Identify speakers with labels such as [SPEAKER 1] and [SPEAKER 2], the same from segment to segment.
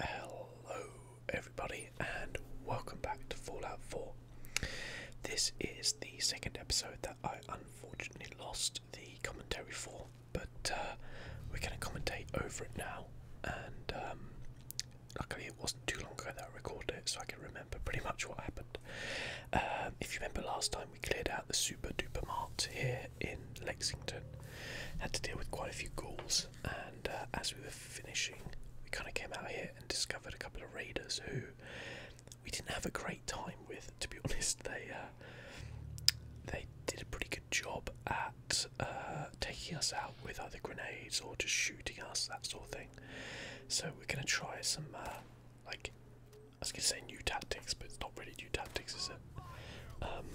[SPEAKER 1] Hello, everybody, and welcome back to Fallout 4. This is the second episode that I unfortunately lost the commentary for, but uh, we're going to commentate over it now. And um, luckily, it wasn't too long ago that I recorded it, so I can remember pretty much what happened. Um, if you remember last time, we cleared out the super duper mart here in Lexington. Had to deal with quite a few ghouls, and uh, as we were finishing, we kind of came out here and discovered a couple of raiders who we didn't have a great time with. To be honest, they uh, they did a pretty good job at uh, taking us out with either grenades or just shooting us, that sort of thing. So we're gonna try some like I was gonna say new tactics, but it's not really new tactics, is it? Um,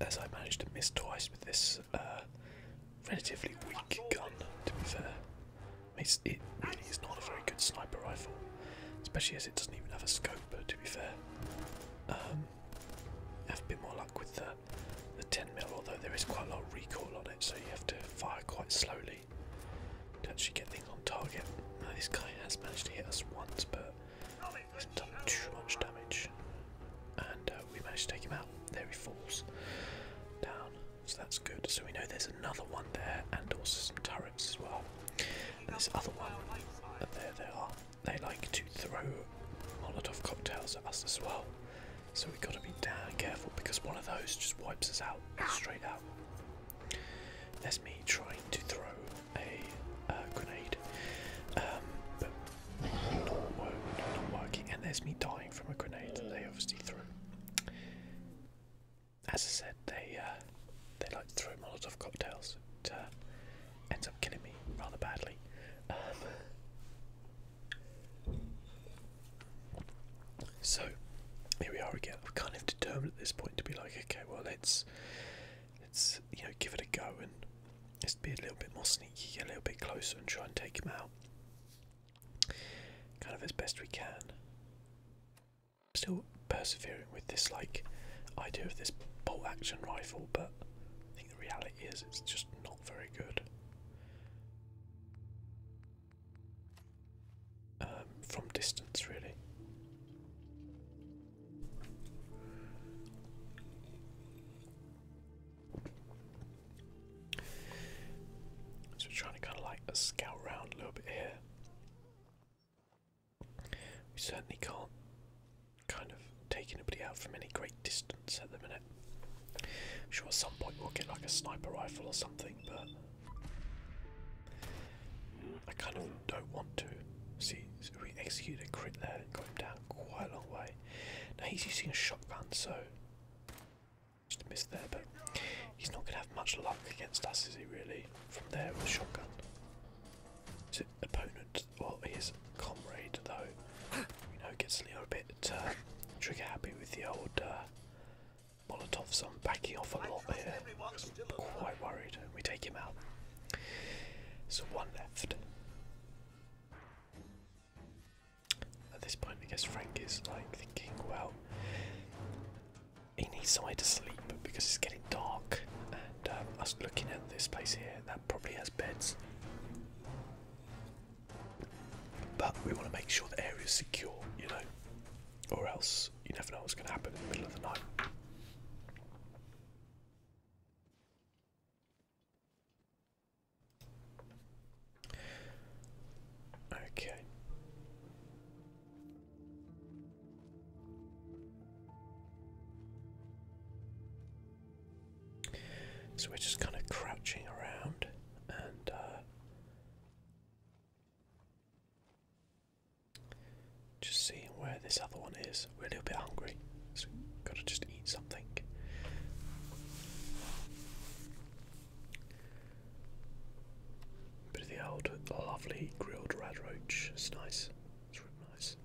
[SPEAKER 1] as I managed to miss twice with this uh, relatively weak gun, to be fair. It's, it really is not a very good sniper rifle, especially as it doesn't even have a scope, to be fair. Um, have a bit more luck with the, the 10mm, although there is quite a lot of recoil on it, so you have to fire quite slowly to actually get things on target. this guy has managed to hit us once, but it's done too much damage. And uh, we managed to take him out. There he falls down. So that's good. So we know there's another one there, and also some turrets as well. And this other one, and there they are. They like to throw Molotov cocktails at us as well. So we've got to be damn careful because one of those just wipes us out straight out. That's me trying to throw a uh, grenade, um, not, working. And there's me dying from a grenade that they obviously threw. As I said, they uh, they like to throw Molotov cocktails. It uh, ends up killing me rather badly. Um, so here we are again. We're kind of determined at this point to be like, okay, well let's let's you know give it a go and just be a little bit more sneaky, get a little bit closer and try and take him out, kind of as best we can. Still persevering with this like idea of this bolt action rifle, but I think the reality is it's just not very good. Um, from distance, really. So we trying to kind of like uh, scout around a little bit here. We certainly can't kind of take anybody out from any great distance at the minute. sure at some point we'll get like a sniper rifle or something, but I kind of hmm. don't want to. See, so we execute a crit there and got him down quite a long way. Now he's using a shotgun, so just missed miss there, but he's not going to have much luck against us, is he really? From there with a shotgun. His opponent, well his comrade though, you know, gets a little bit uh, trigger happy with the old uh, Molotovs. I'm backing off a lot here. quite worried. We take him out. So one left. At this point, I guess Frank is like thinking, well, he needs somewhere to sleep because it's getting dark, and um, us looking at this place here, that probably has beds. But we want to make sure the area is secure, you know, or else you never know what's going to happen in the middle of the night. Okay. So we're just kind of crouching around and uh, just seeing where this other one is. We're a little bit hungry, so gotta just eat something. Bit of the old lovely grilled red roach. It's nice. It's really nice.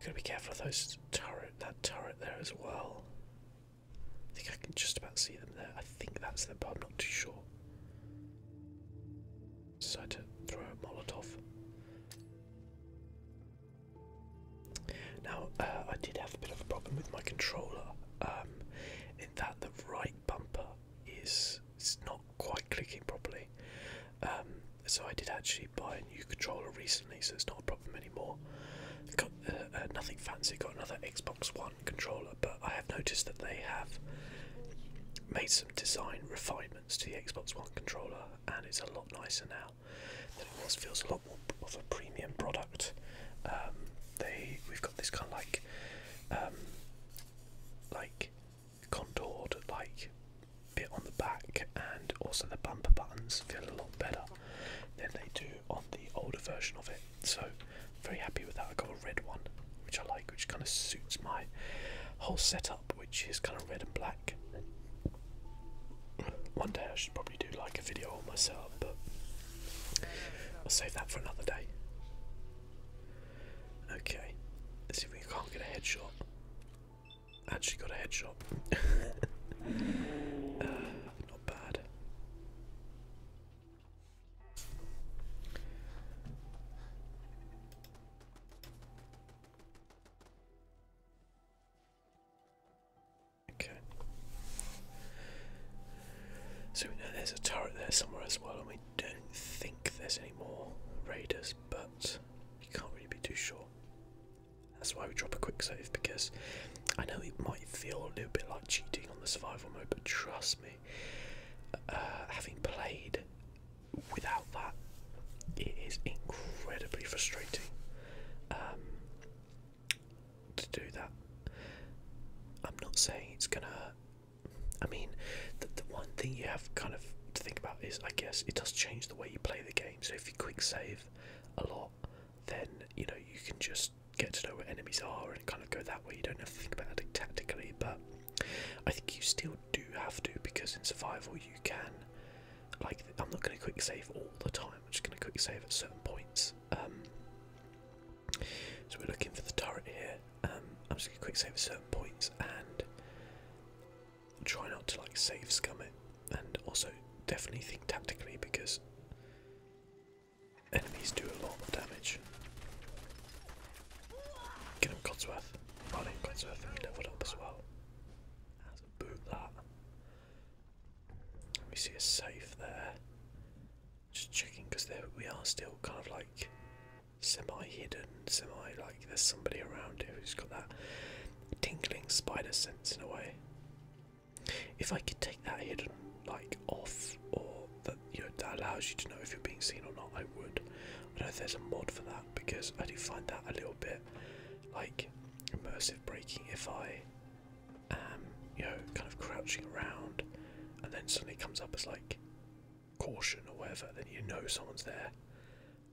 [SPEAKER 1] Gotta be careful of those turret that turret there as well. I think I can just about see them there. I think that's them, but I'm not too sure decide to throw a Molotov. Now, uh, I did have a bit of a problem with my controller, um, in that the right bumper is it's not quite clicking properly. Um, so I did actually buy a new controller recently, so it's not a problem anymore. Got uh, uh, nothing fancy. Got another Xbox One controller, but I have noticed that they have made some design refinement to the Xbox One controller, and it's a lot nicer now it Feels a lot more of a premium product. Um, they we've got this kind of like, um, like contoured like bit on the back, and also the bumper buttons feel a lot better than they do on the older version of it. So very happy with that. I got a red one, which I like, which kind of suits my whole setup which is kind of red and black. One day I should probably do like a video on myself, but I'll save that for another day. Okay, let's see if we can't get a headshot. Actually, got a headshot. Uh, not bad. Okay. So we know there's a turret there somewhere as well, and we don't think there's any more raiders, but you can't really be too sure. That's why we drop a quick save because I know it might feel a little bit like cheating on the survival mode, but trust me, uh, having played without that, it is incredibly frustrating um, to do that. I'm not saying it's gonna. I mean, the, the one thing you have kind of to think about is, I guess, it does change the way you play the game. So if you quick save a lot, then you know you can just get to know where enemies are and kind of go that way. You don't have to think about it tactically, but I think you still do have to because in survival you can. Like, I'm not going to quick save all the time. I'm just going to quick save at certain points. Um, so we're looking for the turret here. Um, I'm just going to quick save at certain points and try not to like save scum it. And also definitely think tactically because enemies do a lot of damage. Get him Codsworth. Well in Codsworth and we leveled up as well. That's a boot that. We see a safe there. Just checking because we are still kind of like semi-hidden, semi-like there's somebody around here who's got that tingling spider sense in a way. If I could take that hidden like off or that you know that allows you to know if you're being seen or not, I would. I don't know if there's a mod for that because I do find that a little bit like immersive breaking if I um, you know, kind of crouching around and then suddenly comes up as like caution or whatever, then you know someone's there,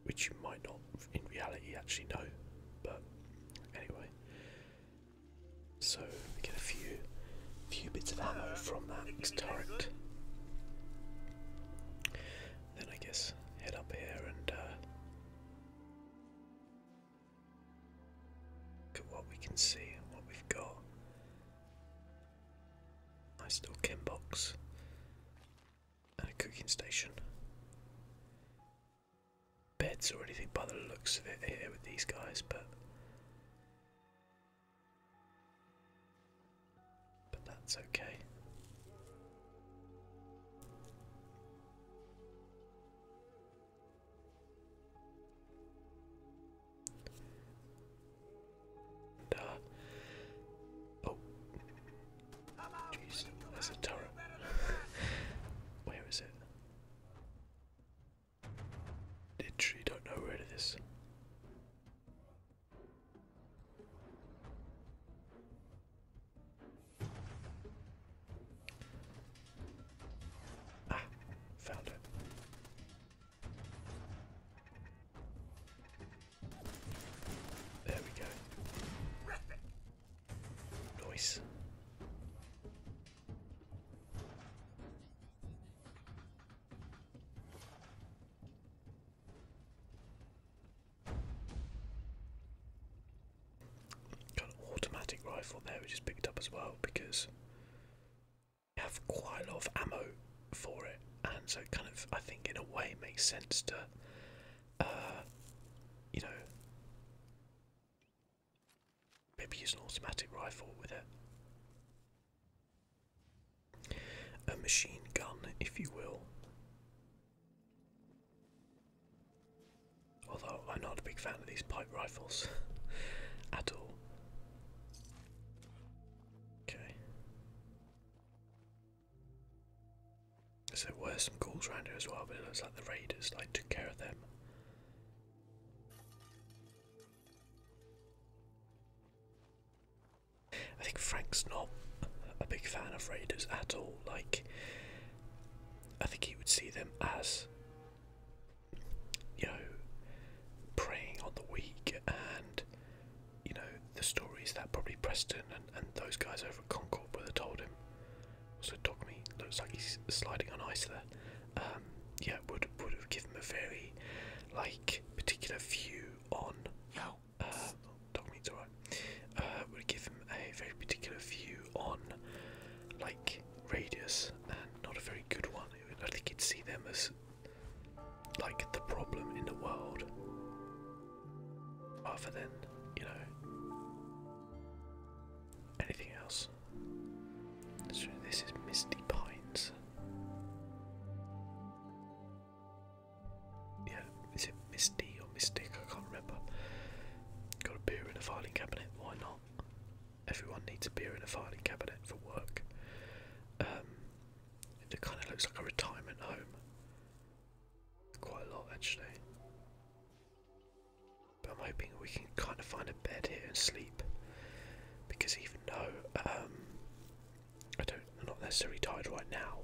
[SPEAKER 1] which you might not in reality actually know. But anyway, so we get a few, few bits of ammo from that turret. Then I guess head up here and uh, look at what we can see and what we've got. Nice little tin box and a cooking station. Beds or anything by the looks of it here with these guys, but but that's okay. oh, jeez, there's a turret. where is it? Literally don't know where it is. Ah, found it. There we go. Nice. Got an automatic rifle there, which is picked up as well because you have quite a lot of ammo for it, and so kind of I think in a way makes sense to, uh, you know, maybe use an automatic rifle with it a machine gun, if you will. Although I'm not a big fan of these pipe rifles at all. Okay. So there were some ghouls around here as well, but it looks like the raiders like took care of them. I think Frank's not a big fan of Raiders at all. Like, I think he would see them as, you know, preying on the weak and, you know, the stories that probably Preston and, and those guys over at Concord would have told him. So me looks like he's sliding on ice there. Um, yeah, would would have given him a very, like, particular view on dog meat's alright, uh, would give him a very particular view on like radius and not a very good one. I think he'd see them as like the problem in the world rather than, you know, anything else. So this is Misty Pines yeah, is it Misty or Mystic? I can't remember. Got a beer in a filing cabinet, why not? Everyone needs a beer in a filing cabinet for work. Um, it kind of looks like a retirement home. Quite a lot, actually. But I'm hoping we can kind of find a bed here and sleep. Because even though um, I don't, am not necessarily tired right now.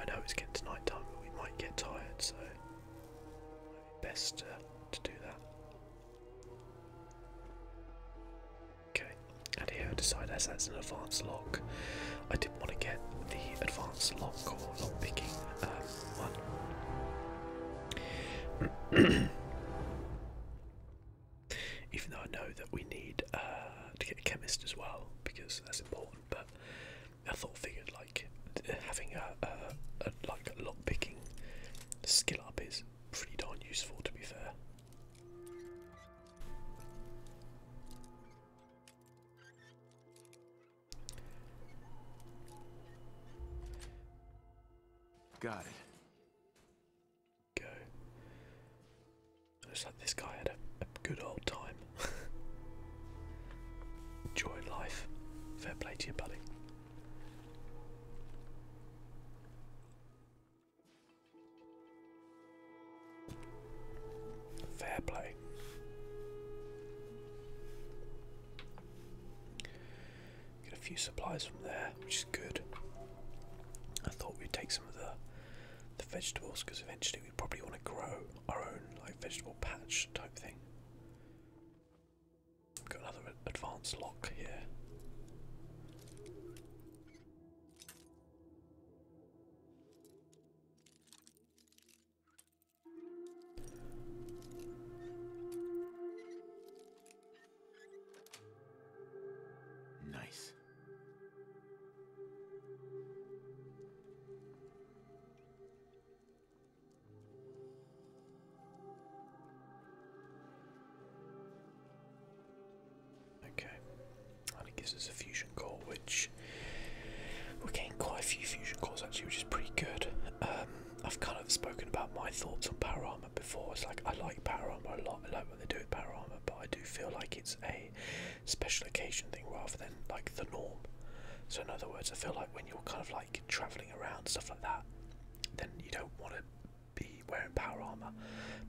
[SPEAKER 1] I know it's getting to night time, but we might get tired, so might be best to do that. Okay, and here I decide as that's an advanced lock, I didn't want to get the advanced lock or lock picking um, one. Even though I know that we need uh, to get a chemist as well, because that's important but I thought figured like having a, a, like a picking skill up is pretty darn useful to be fair. Got it. Go. Looks like this guy had a, good old time. Enjoying life. Fair play to your buddy. Fair play. Get a few supplies from there, which is good. I thought we'd take some of the the vegetables because eventually we probably want to grow our own like vegetable patch type thing. got another advanced lock here. Nice. Okay, and it gives us a fusion core, which we're getting quite a few fusion calls actually, which is pretty good. Um, I've kind of spoken about my thoughts on power armor before. It's like I like power armor a lot. I like what they do with power armor, but I do feel like it's a special occasion thing rather than like the norm. So in other words, I feel like when you're kind of like traveling around stuff like that, then you don't want to be wearing power armor.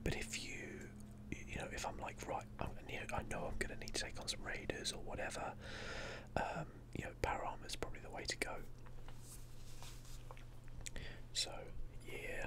[SPEAKER 1] But if you, you know, if I'm like right, i know, I am gonna need to take on some raiders or whatever. Um, you know, power armor is probably the way to go. So yeah.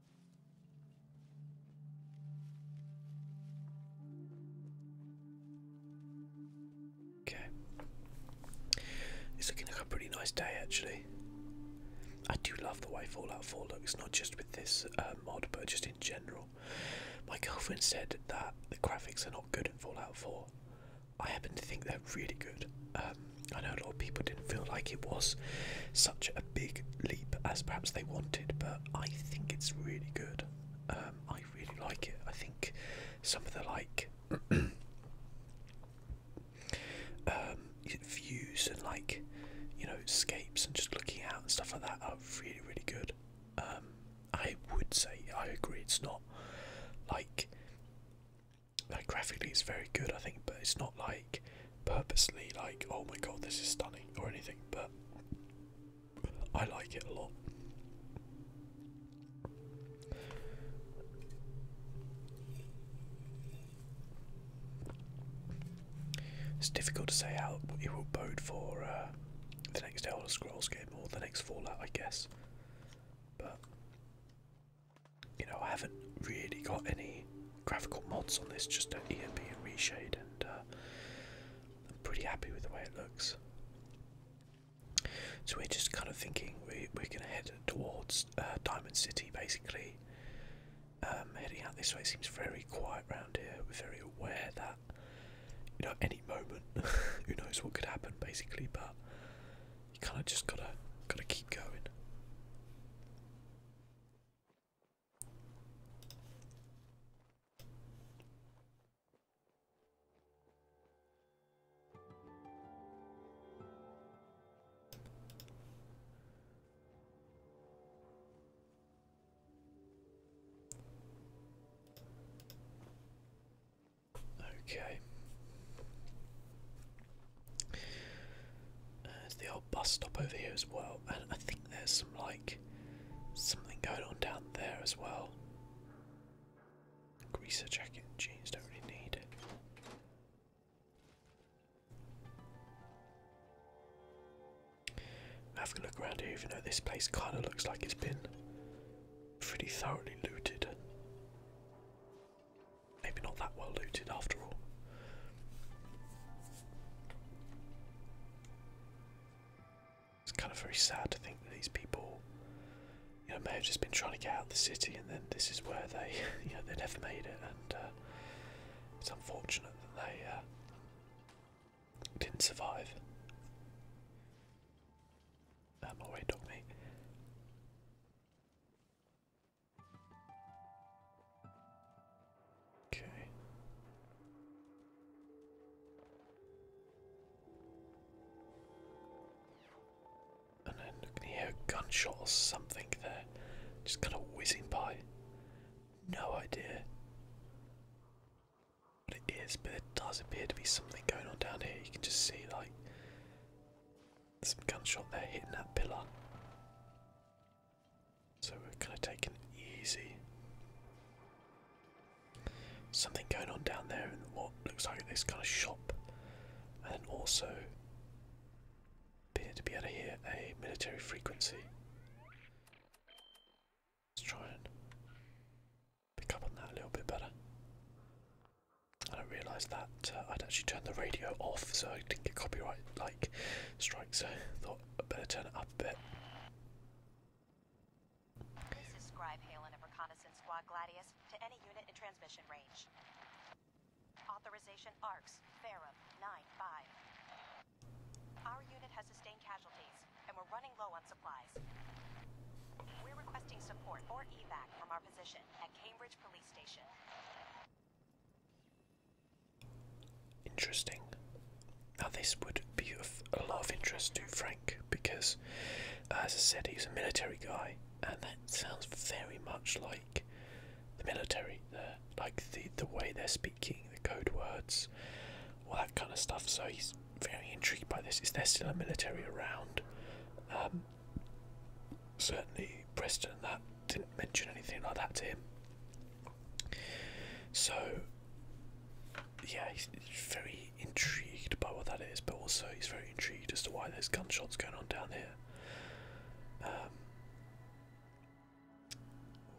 [SPEAKER 1] Okay. It's looking like a pretty nice day actually. I do love the way Fallout 4 looks, not just with this uh, mod, but just in general. My girlfriend said that the graphics are not good in Fallout 4. I happen to think they're really good. Um, I know a lot of people didn't feel like it was such a big leap as perhaps they wanted, but I think it's really good. Um, I really like it. I think some of the like um, views and like you know scapes and just looking out and stuff like that are really really good. Um, I would say I agree. It's not like like graphically it's very good. I think, but it's not like purposely like oh my god this is stunning or anything. But I like it a lot. It's difficult to say how it will bode for uh, the next Elder Scrolls game or the next Fallout, I guess. But you know, I haven't really got any graphical mods on this, just an EMP and reshade and uh, I'm pretty happy with the way it looks. So we're just kind of thinking we, we're going to head towards uh, Diamond City, basically. Um, heading out this way seems very quiet round here. We're very aware that, you know, any moment, who knows what could happen, basically. But you kind of just gotta gotta keep going. Okay. Uh, there's the old bus stop over here as well, and I think there's some like something going on down there as well. Greaser jacket jeans don't really need it. Having a look around here, even though this place kind of looks like it's been pretty thoroughly looted. Maybe not that well looted after all. It's kind of very sad to think that these people, you know, may have just been trying to get out of the city, and then this is where they, you know, they never made it, and uh, it's unfortunate that they uh, didn't survive. Uh, um, oh, my way, dog meat. Okay. And then can hear a gunshot or something there. Just kind of whizzing by. No idea what it is, but there does appear to be something going on down here. You can just see, like, some gunshot there hitting that pillar. So we're gonna take an easy. Something going on down there in what looks like this kind of shop, and also appear to be out of here a military frequency. Let's try and pick up on that a little bit better. I don't realise that uh, I'd actually turned the radio off, so I didn't get copyright like strikes. So I thought I better turn it up a bit.
[SPEAKER 2] This is Scribe Halen of Reconnaissance Squad Gladius to any unit in transmission range. Authorization ARCS, Farum 9-5. Our unit has sustained casualties, and we're running low on supplies. We're requesting support or evac from our position at Cambridge Police Station.
[SPEAKER 1] Interesting. Now, this would be of a lot of interest to Frank because, as I said, he's a military guy, and that sounds very much like the military like the, the way they're speaking, the code words, all that kind of stuff. So, he's very intrigued by this. Is there still a military around? Um, certainly, Preston that didn't mention anything like that to him. So, yeah, he's very intrigued by what that is, but also he's very intrigued as to why there's gunshots going on down here. Um,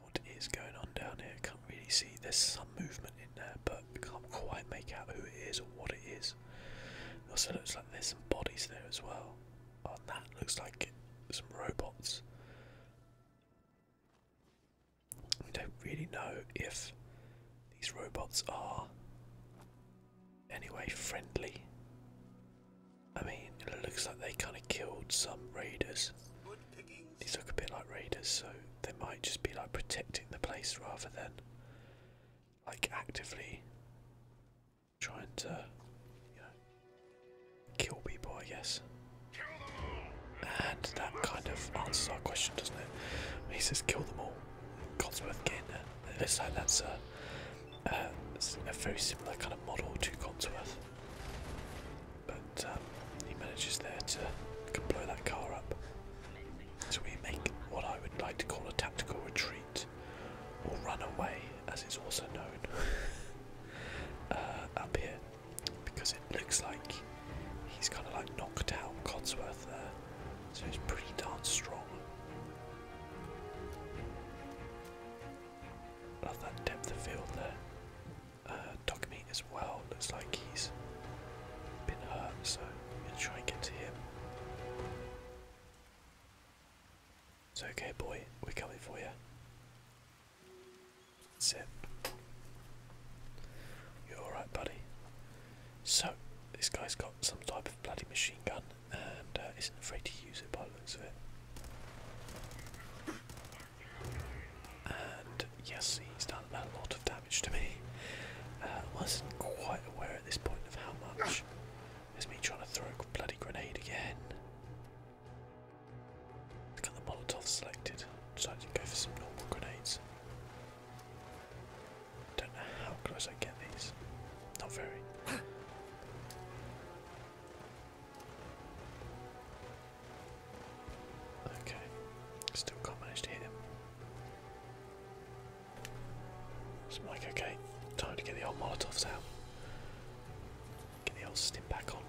[SPEAKER 1] what is going on down here? Can't really see. There's some movement in there, but I can't quite make out who it is or what it is. also looks like there's some bodies there as well. Oh, that looks like some robots. We don't really know if these robots are anyway friendly. I mean, it looks like they kind of killed some raiders. These look a bit like raiders, so they might just be like protecting the place rather than like actively trying to, you know, kill people, I guess. And that kind of answers our question, doesn't it? He says, kill them all. Codsworth again. It looks like that's a, very similar kind of model to Codsworth. But um, he manages there to blow that car up. So we make what I would like to call a tactical retreat, or run away, as it's also known, uh, up here because it looks like he's kind of like knocked out Codsworth there, so he's pretty darn strong. Love that depth of field there. Uh, Dogmeat as well looks like he's been hurt, so we am gonna try and get to him. It's okay, boy, we're coming for you. That's it. You're alright, buddy. So, this guy's got some type of bloody machine gun and uh, isn't afraid to use it by the looks of it. And yes, he's done a lot of damage to me. Uh, I wasn't quite aware at this point of how much. There's me trying to throw a bloody grenade again. I've got the Molotov selected. So I can go for some normal grenades. Don't know how close I get these. Not very. okay. Still can't manage to hit him. So like, okay, time to get the old Molotovs out. Get the old stim back on.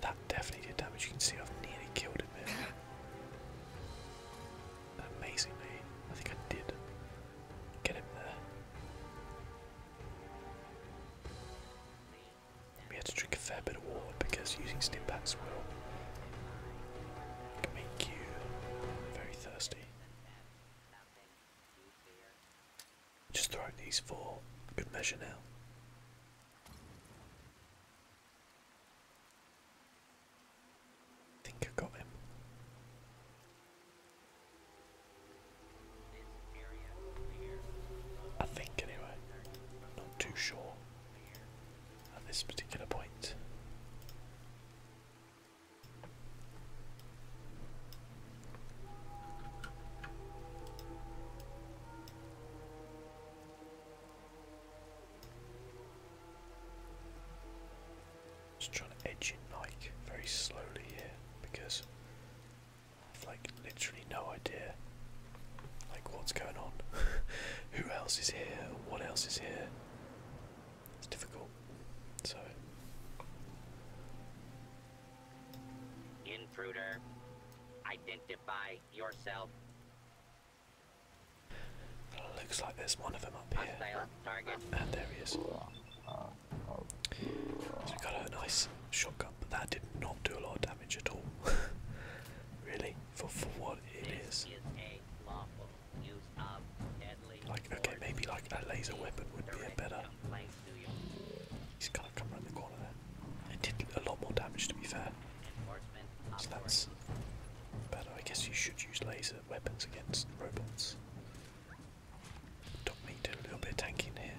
[SPEAKER 1] That definitely did damage. You can see I've nearly killed him there. Amazingly, I think I did get him there. We had to drink a fair bit of water because using stim will make you very thirsty. Just throwing these four, good measure now. think I got him. I think anyway. not too sure at this particular point. Just trying to edge in like very slowly here because I've like literally no idea like what's going on. Who else is here? What else is here? It's difficult. So Intruder, identify yourself. Looks like there's one of them up here. And there he is. we got a nice shotgun, but that did not do a lot of damage at all. really, for, for what it like, okay, maybe like a laser weapon would be a better He's kind of come around the corner there. It did a lot more damage, to be fair. So that's better. I guess you should use laser weapons against robots. Doc me do a little bit of tanking here.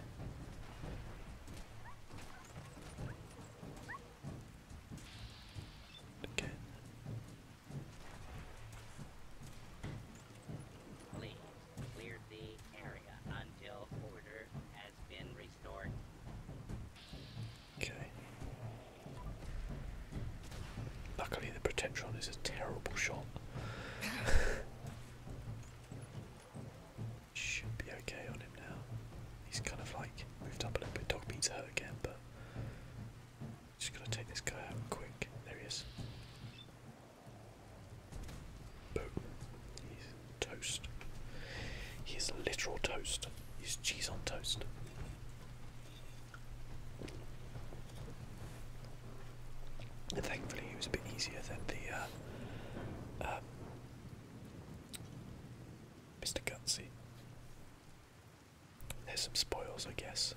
[SPEAKER 1] Again. Clear the area until order has been restored. Okay. Luckily, the Protectron is a terrible shot. Should be okay on him now. He's kind of like moved up a little bit. Dog meat's again, but just gotta take this guy out quick. There he is. Boom. He's toast. He is literal toast. He's cheese on toast. And thankfully, it was a bit easier than the uh, Mr. Um, Gutsy. There's some spoils, I guess.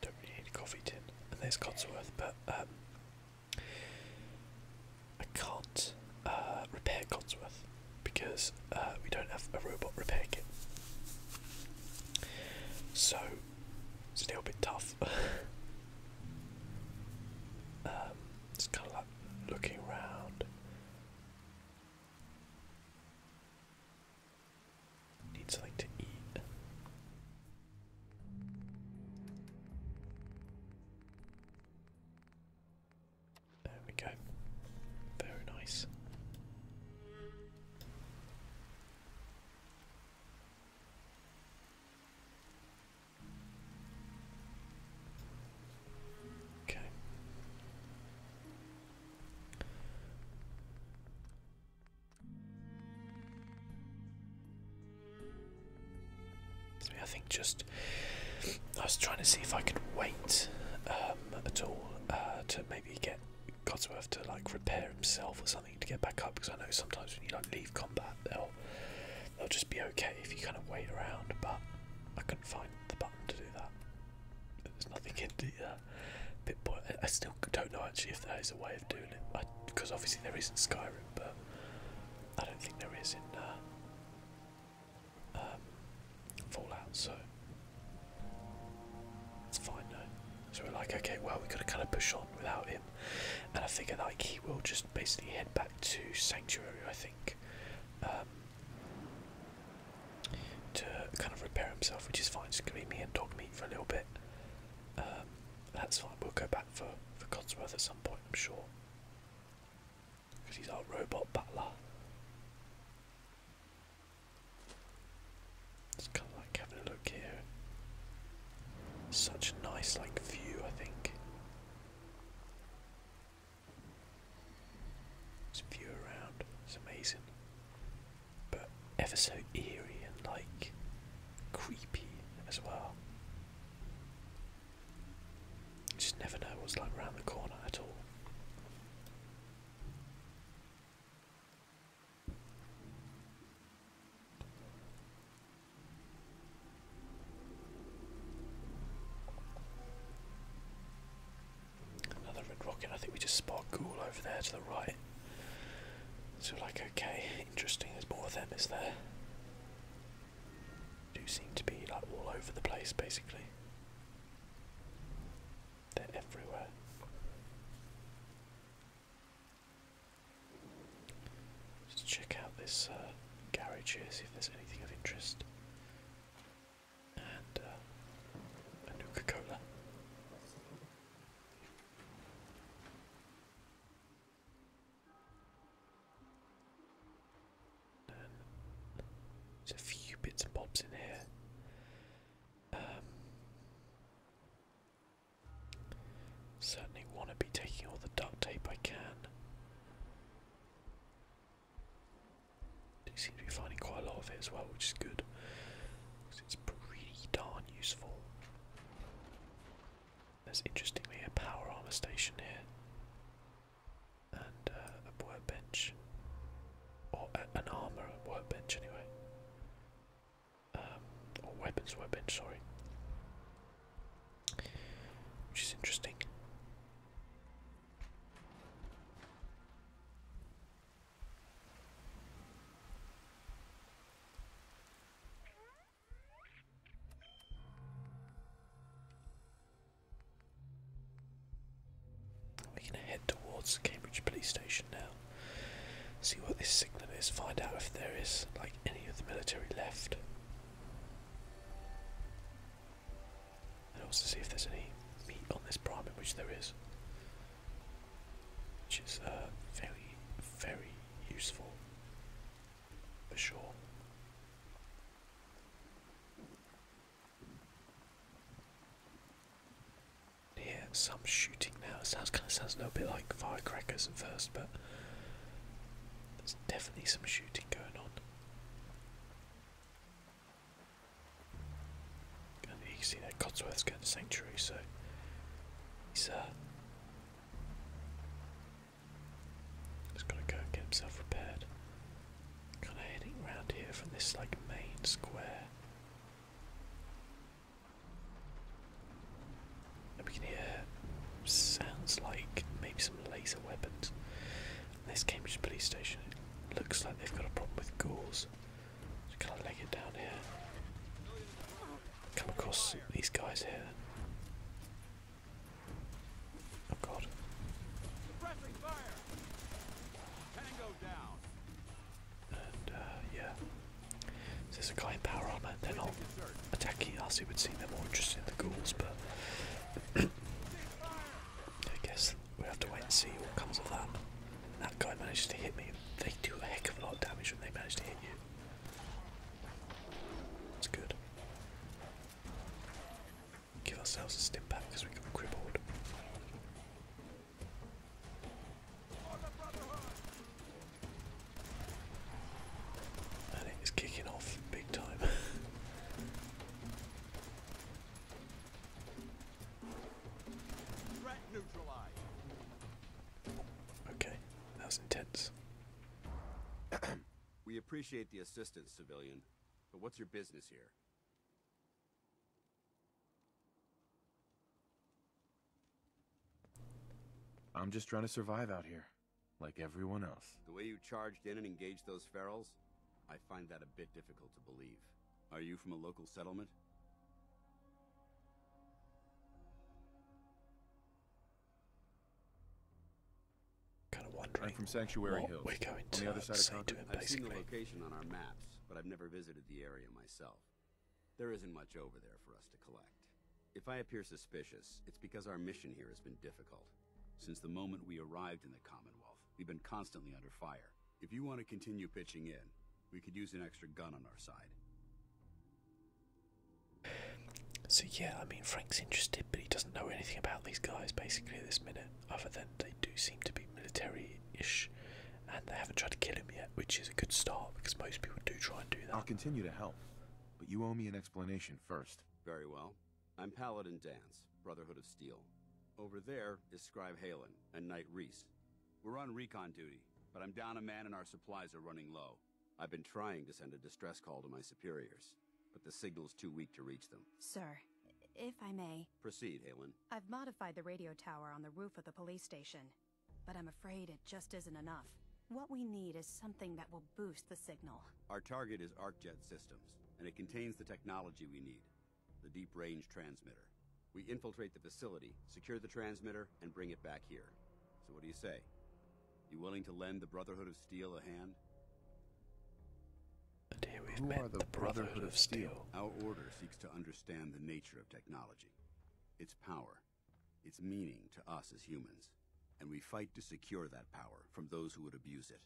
[SPEAKER 1] Don't need coffee tin, and there's Codsworth, but um, I can't uh, repair Codsworth because uh, we don't have a robot repair kit. So it's a little bit tough. it's um, kind of like looking around. Need something to eat. There we go. Very nice. Okay. I think just I was trying to see if I could wait um, at all uh, to maybe get Codsworth to like repair himself or something to get back up because I know sometimes when you like leave combat they'll they'll just be okay if you kind of wait around. But I couldn't find the button to do that. There's nothing in the uh, bit boy. I still don't know actually if there is a way of doing it because obviously there is isn't Skyrim, but I don't think there is in uh, um, Fallout. So it's fine now. So we're like, okay, well we have got to kind of push on without it. And I figure like he will just basically head back to Sanctuary, I think, um, to kind of repair himself, which is fine. It's going me and dog meat for a little bit. Um, that's fine. We'll go back for for Codsworth at some point, I'm sure, because he's our robot butler. It's kind of like having a look here. Such a nice like view, I think. It's a view around, it's amazing. But ever so eerie and like creepy as well. You just never know what's like around the corner at all. Another red rocket. I think we just spot Ghoul over there to the right. So like, okay, interesting. There's more of them, is there? Do seem to be like all over the place, basically. They're everywhere. Just check out this uh, garage here, see if there's anything of interest. And uh, a Nuka Cola. there's a few bits and bobs in here. Um, certainly want to be taking all the duct tape I can. We seem to be finding quite a lot of it as well, which is good. Because it's pretty darn useful. There's interestingly a power armor station here. And uh, a workbench. Or an armor workbench, anyway. Um, or weapons workbench, sorry which is interesting. We're going to head towards the Cambridge police station now. See what this signal is, find out if there is like any of the military left. And also see if there's any meat on this prime, which there is. Which is very, uh, very useful for sure. Yeah, some shooting now. It sounds kind of sounds a little bit like firecrackers at first, but there's definitely some shooting going on. you can see that Cotsworth's going to Sanctuary, so he's uh, just got to go and get himself repaired. Kind of heading round here from this like main square we can hear sounds like maybe some laser weapons. this Cambridge police station looks like they've got a problem with ghouls. kind of leg it down here. Come across these guys here. Oh god. Uh, yeah. So there's a guy in power armor, they're not attacking us, it would seem they more interested in the ghouls, but I guess we have to wait and see what comes of that. That guy managed to hit me. They do a heck of a lot of damage when they manage to hit you. That's good. Give ourselves a step back because we got crippled. And it is kicking off big time. Okay, that was intense.
[SPEAKER 3] we appreciate the assistance, civilian, but what's your business here? I'm just trying to survive out here. Like everyone else. The way you charged in and engaged those ferals, I find that a bit difficult to believe. Are you from a local settlement? Kind of wondering. I'm from Sanctuary Hills. We're going to on the other side of to him, I've basically. seen the location on our maps, but I've never visited the area myself. There isn't much over there for us to collect. If I appear suspicious, it's because our mission here has been difficult. Since the moment we arrived in the Commonwealth, we've been constantly under fire. If you want to continue pitching in, we could use an extra gun on our side.
[SPEAKER 1] So yeah, I mean Frank's interested, but he doesn't know anything about these guys basically at this minute, other than they do seem to be military-ish, and they haven't tried to kill him yet, which is a good start because most people do try and do
[SPEAKER 3] that. I'll continue to help, but you owe me an explanation first. Very well. I'm Paladin Dance, Brotherhood of Steel. Over there is Scribe Halen and Knight Reese. We're on recon duty, but I'm down a man and our supplies are running low. I've been trying to send a distress call to my superiors, but the signal's too weak to reach them.
[SPEAKER 2] Sir, if I may...
[SPEAKER 3] Proceed, Halen.
[SPEAKER 2] I've modified the radio tower on the roof of the police station, but I'm afraid it just isn't enough. What we need is something that will boost the signal.
[SPEAKER 3] Our target is ArcJet Systems, and it contains the technology we need, the deep range transmitter. We infiltrate the facility, secure the transmitter, and bring it back here. So what do you say? You willing to lend the Brotherhood of Steel a hand?
[SPEAKER 1] Today we've Who met the, Brotherhood of Steel.
[SPEAKER 3] Our order seeks to understand the nature of technology, its power, its meaning to us as humans and we fight to secure that power from those who would abuse it.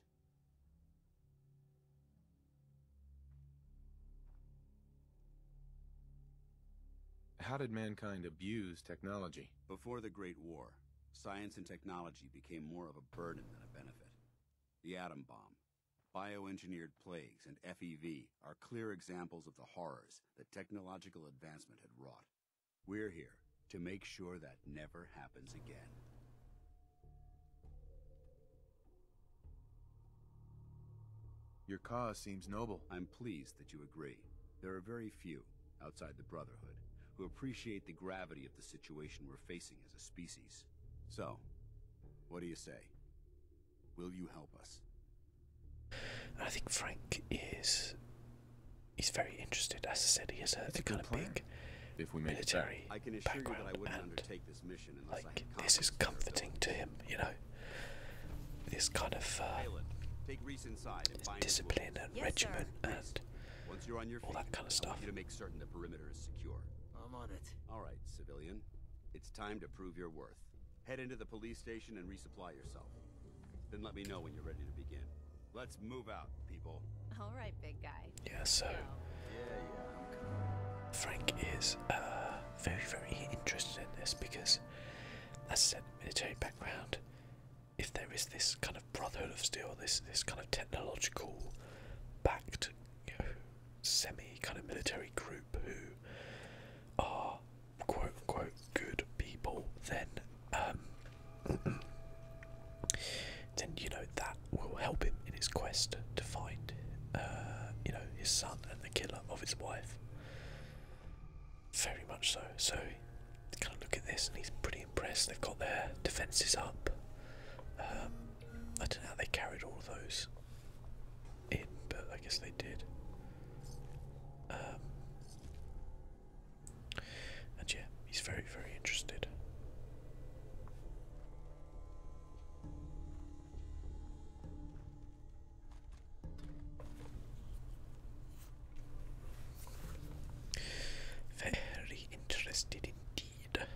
[SPEAKER 3] How did mankind abuse technology? Before the Great War, science and technology became more of a burden than a benefit. The atom bomb, bioengineered plagues, and FEV are clear examples of the horrors that technological advancement had wrought. We're here to make sure that never happens again. Your cause seems noble. I'm pleased that you agree. There are very few, outside the Brotherhood, who appreciate the gravity of the situation we're facing as a species. So, what do you say? Will you help
[SPEAKER 1] us? I think Frank is he's very interested. As I said, he has a, a kind of big if we make military I can background, you that I wouldn't and undertake
[SPEAKER 3] this mission unless like
[SPEAKER 1] I this is comforting
[SPEAKER 3] to him. You know, this kind of uh, discipline and regiment and all that kind of stuff. You're to make certain the perimeter is secure. I'm on it. All right, civilian, it's time to prove your worth. Head into the police station and resupply yourself. Then let me know when you're ready to begin. Let's move out, people.
[SPEAKER 2] All right, big guy. Yeah, so
[SPEAKER 1] Frank is uh, very, very interested in this because, as I said, military background. If there is this kind of brotherhood of steel, this this kind of technological backed, semi kind of military group who are quote unquote good people, then um, then you know that will help him in his quest to find uh, you know his son and the killer of his wife. Very much so. So kind of look at this, and he's pretty impressed. They've got their defences up. Um, I don't know how they carried all of those in, but I guess they did. Um, and yeah, he's very, very interested. Very interested indeed.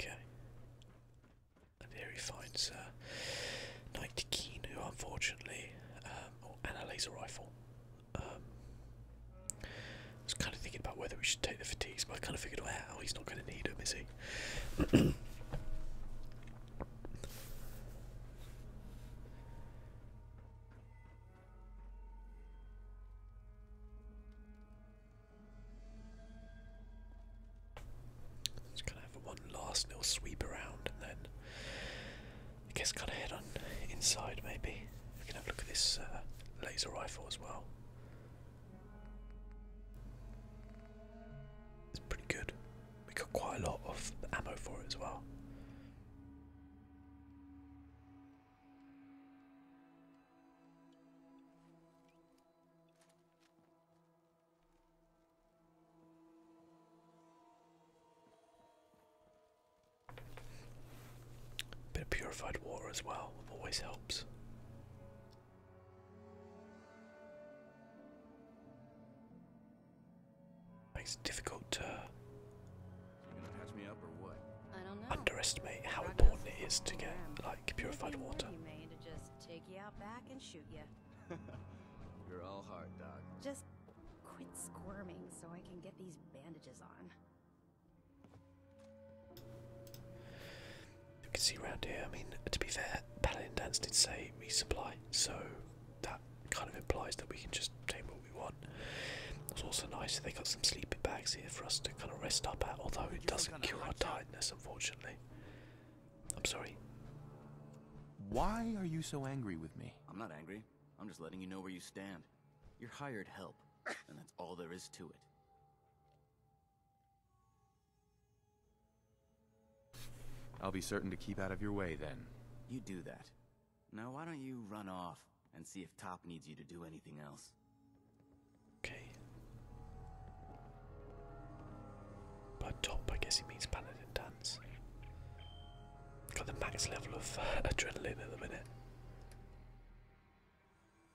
[SPEAKER 1] Okay. And here he finds uh, Knight Keen, unfortunately, um, or and a laser rifle. Um, I was kind of thinking about whether we should take the fatigues, but I kind of figured, out how he's not going to need them, is he? Just gonna have one last little sweep around and then I guess kind of head on inside maybe. We can have a look at this uh, laser rifle as well. It's pretty good. We got quite a lot of ammo for it as well. Bit of purified water as well always helps. Makes it difficult to
[SPEAKER 2] underestimate how important it is to get like purified water.
[SPEAKER 3] You're all heart, Doc.
[SPEAKER 2] Just quit squirming so I can get these bandages on.
[SPEAKER 1] You can see around here, I mean, to be fair, Paladin Dance did say resupply, so that kind of implies that we can just take what we want. It's also nice that they got some sleeping bags here for us to kind of rest up at, although it doesn't cure our tiredness, unfortunately. I'm sorry. Why
[SPEAKER 3] are you so angry with me?
[SPEAKER 1] I'm not angry. I'm just letting you know where you stand on. You're hired help, and that's all there is to it.
[SPEAKER 3] I'll be certain to keep out of your way, then. You do that. Now why don't you run off and see if Top needs you to do anything else.
[SPEAKER 1] Okay. By Top, I guess he means Paladin Dance. Got the max level of uh, adrenaline at the minute.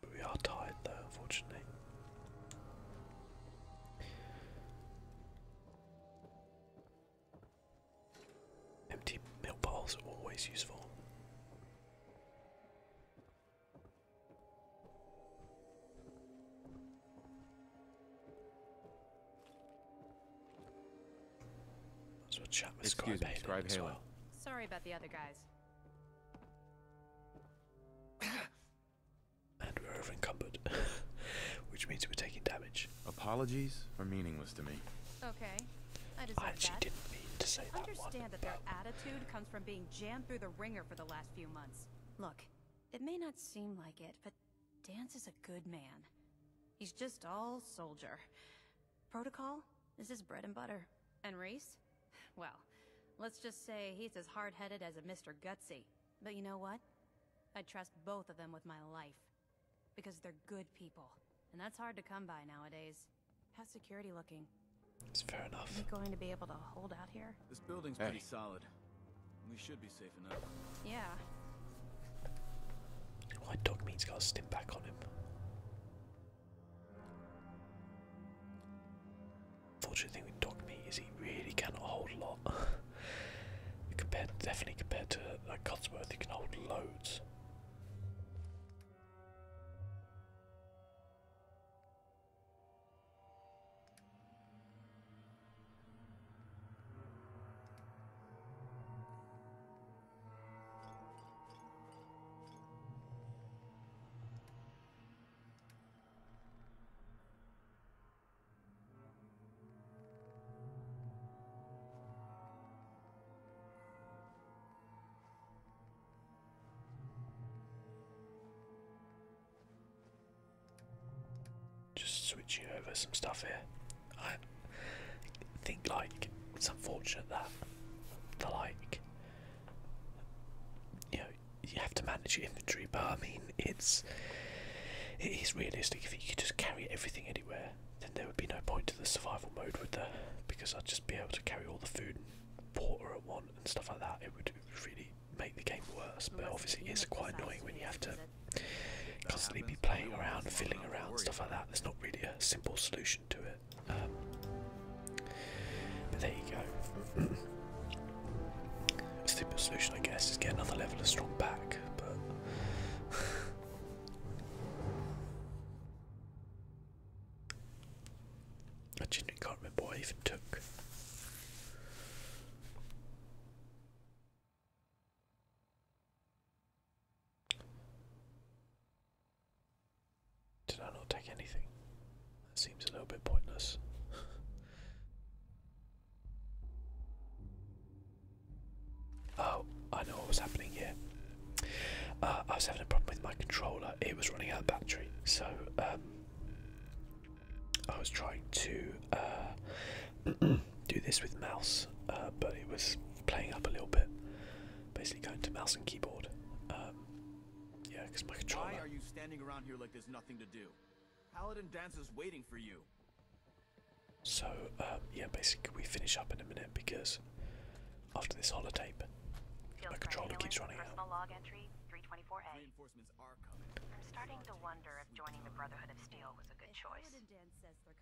[SPEAKER 1] But we are tired though, unfortunately. Empty milk are always useful.
[SPEAKER 2] So we'll chat with Excuse me, Scribe as well. Sorry about the other guys.
[SPEAKER 1] and we're over which means we're taking damage.
[SPEAKER 3] Apologies are meaningless to me.
[SPEAKER 2] Okay, I, deserve actually that. didn't mean to say I that. Understand that their attitude comes from being jammed through the ringer for the last few months. Look, it may not seem like it, but Dance is a good man. He's just all soldier. Protocol? This is bread and butter. And Reese? Well, let's just say he's as hard-headed as a Mr. Gutsy. But you know what? I would trust both of them with my life. Because they're good people. And that's hard to come by nowadays. How's security looking? It's fair enough. Are we going to be able to hold out here?
[SPEAKER 1] This building's pretty solid. We should be safe enough. Yeah. My dog means gotta step back on him. Fortunate thing with dog meat is he really cannot hold a lot. compared, definitely compared to like Cotsworth, he can hold loads. Just switching over some stuff here. I think like it's unfortunate that the like you know you have to manage your inventory, but I mean it's it is realistic if you could just carry everything anywhere, then there would be no point to the survival mode, would there? Because I'd just be able to carry all the food and water at once and stuff like that. It would really make the game worse, but obviously it's quite annoying when you have to constantly be playing around, fiddling around, stuff like that. There's not really a simple solution um, there you go. A simple solution, I guess, is get another level of strong back, I genuinely can't remember what I even took. Did I not take anything? That seems a little bit pointless. oh, I know what was happening here. Uh, I was having a problem with my controller. It was running out of battery, so um, I was trying to uh, do this with mouse, uh, but it was playing up a little bit basically going to mouse and keyboard. Um, yeah, because my controller. Why are you standing around here like there's nothing to do? Paladin dances waiting for you. So um, yeah, basically we finish up in a minute because after this holotape, Field my controller keeps running out. Log entry
[SPEAKER 2] 324A. I'm starting to wonder if joining the Brotherhood of Steel was a good choice.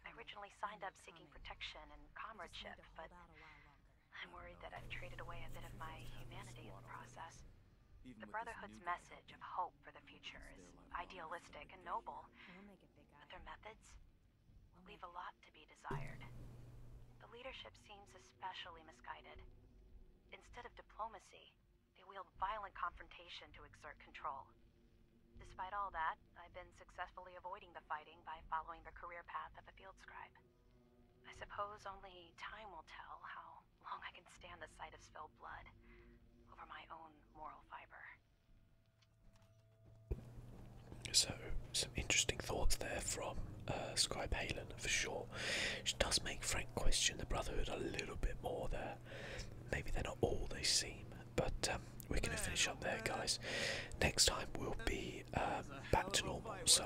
[SPEAKER 2] I originally signed up seeking protection and comradeship, but I'm worried that I've traded away a bit of my humanity in the process. The Brotherhood's message of hope for the future is idealistic and noble, but their methods leave a lot to be desired. The leadership seems especially misguided. Instead of diplomacy, they wield violent confrontation to exert control. Despite all that, I've been successfully avoiding the fighting by following the career path of a field scribe. I suppose only time will tell how long I can stand the sight of spilled blood over my own moral fiber.
[SPEAKER 1] So, some interesting thoughts there from uh, Scribe Halen for sure. She does make Frank question the Brotherhood a little bit more there. Maybe they're not all they seem, but um, we're going to finish up there, guys. Next time we'll be um, back to normal, so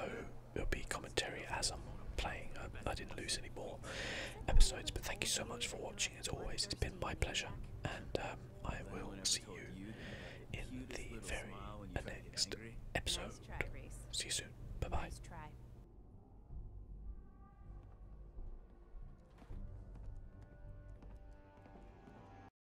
[SPEAKER 1] it'll be commentary as I'm playing. I didn't lose any more episodes, but thank you so much for watching. As always, it's been my pleasure, and um, I will see you in the very next episode. See you soon. Bye bye.